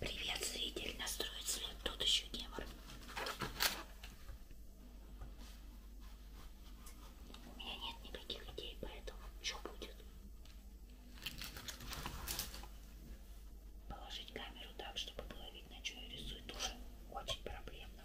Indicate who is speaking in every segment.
Speaker 1: Привет, зритель, настроить свет, тут еще гемор. У меня нет никаких идей, поэтому что будет? Положить камеру так, чтобы было видно, что я рисую, тоже очень проблемно.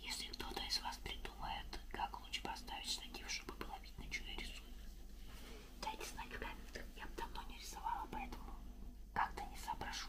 Speaker 1: Если кто-то из вас придумает, как лучше поставить штатив, чтобы было видно, что я рисую, дайте знать в комментах. Я бы давно не рисовала, поэтому как-то не соображу.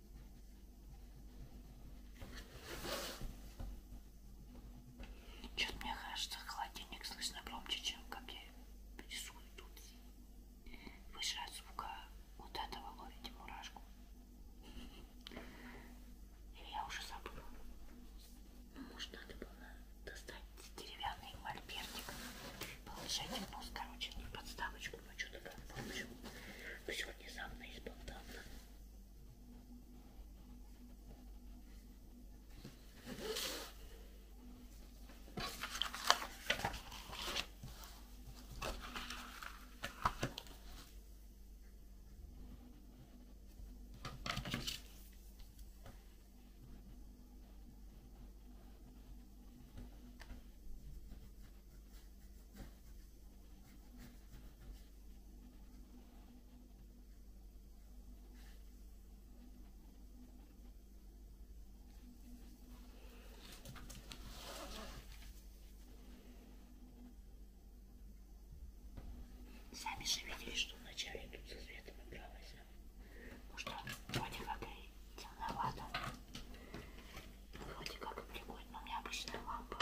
Speaker 1: Чё-то мне кажется, холодильник слышно громче, чем как я рисую тут. Выше от звука вот этого ловите мурашку. Или я уже забыла. Ну, может, надо было достать деревянный мольбертик, положить в нос, короче, на подставочку что мы что-то там получим. Но сегодня сам и спонтанно. Сами же видели, что вначале тут со светом игралась. Потому а? что вроде как и темновато. Вроде как прикольно. У меня обычная лампа.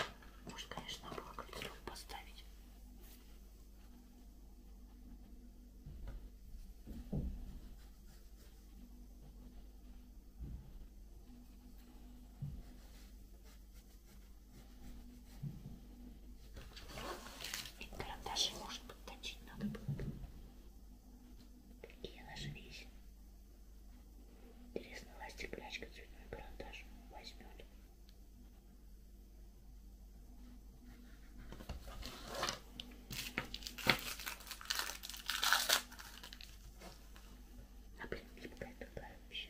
Speaker 1: Может, конечно, было кольцо поставить. И карандаши, может, подточить надо было. Какие наши вещи? Интересно, ластик, прячка, цветной карандаш возьмет. А блин, гибкая такая вообще.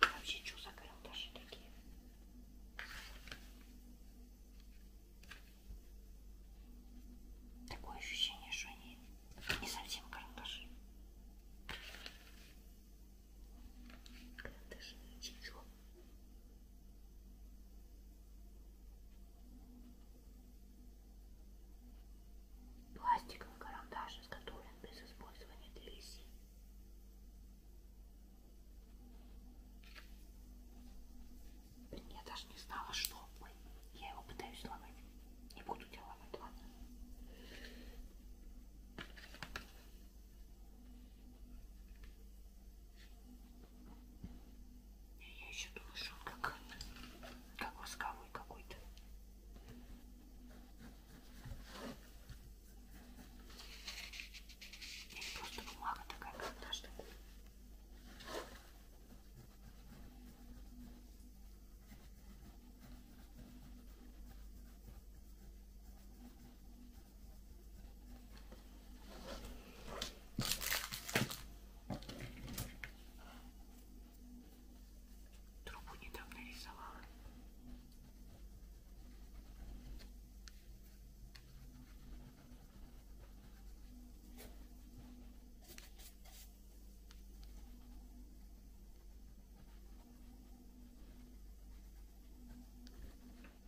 Speaker 1: Вообще, что за карандаши такие? Такое ощущение, что они не совсем карандаши. Это же ничего. Пластиковый карандаш изготовлен без использования древесин. Я даже не знала, что. Ой, я его пытаюсь ломать. Не буду тебя ломать, ладно. Я еще думаю, что он как, как восковой какой-то. Или просто бумага такая карандашная. Трубу недавно рисовала.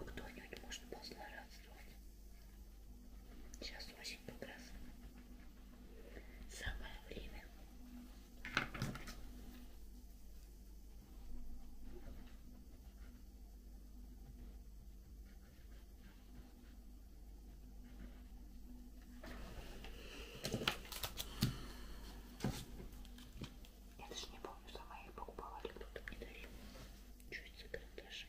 Speaker 1: А Кто-нибудь может позлорадствовать. Сейчас очень прекрасно. Самое время. Я даже не помню, сама я покупала или кто-то мне дарил. Чуть за карандаши.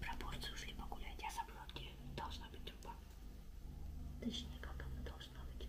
Speaker 1: Пропорции ушли погулять, я забыла, где должна быть труба. Точнее, как она должна быть.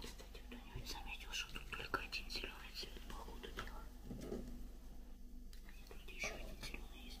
Speaker 1: Кстати, кто-нибудь заметил, что тут только один зеленый цвет, походу, дела. А тут еще один зеленый есть.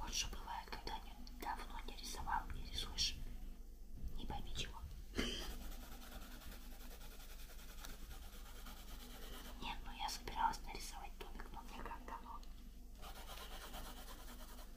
Speaker 1: Вот что бывает, когда не, давно не рисовал, не рисуешь, не пойми чего. Нет, ну я собиралась нарисовать домик, но мне как дано.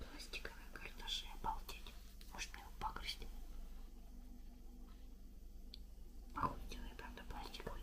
Speaker 1: Пластиковые карандаши, обалдеть. Может мне его погрызть? Охуительный, а правда, пластиковый.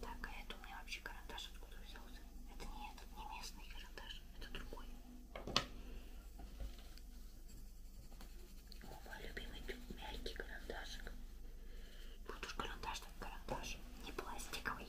Speaker 1: Так, а это у меня вообще карандаш откуда взялся? Это не этот, не местный карандаш, это другой. О, мой любимый мягкий карандашик. Вот уж карандаш так карандаш, не пластиковый.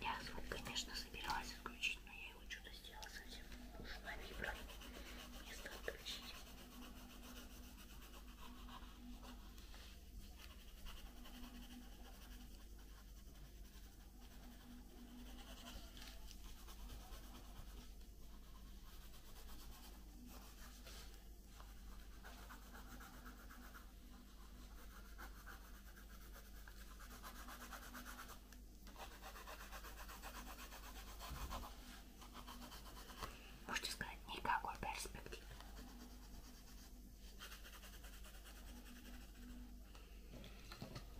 Speaker 1: Я звук, конечно, собиралась отключить, но я его что-то сделала совсем уж на вибро. Вместо отключить. Можете сказать, никакой перспективы.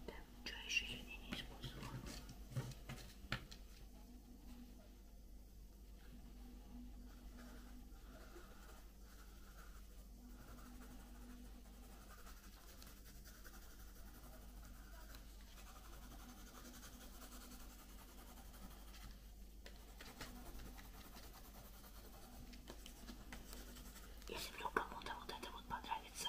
Speaker 1: Да, ну что еще сегодня не использовала? Если вдруг кому-то вот это вот понравится,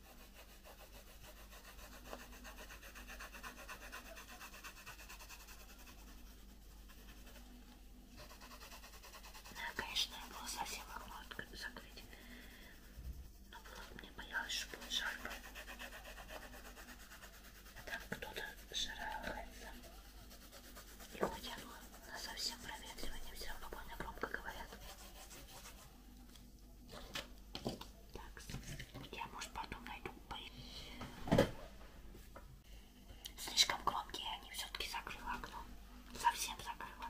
Speaker 1: Ну, конечно, я было совсем окно закрыть. Но было, мне боялось, что будет жарко. А там кто-то шарахается. И хотя бы на совсем проветривание все равно больно громко говорят. Так, я, может, потом найду Слишком громкие они, все-таки закрыла окно. Совсем закрыла.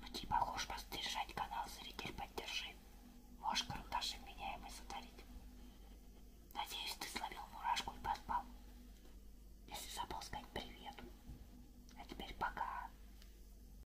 Speaker 1: Ну типа хочешь поддержать канал, зритель, поддержи. Можешь карандаши меняемый задавить. Надеюсь, ты словил мурашку и поспал. Если забыл сказать привет. А теперь пока.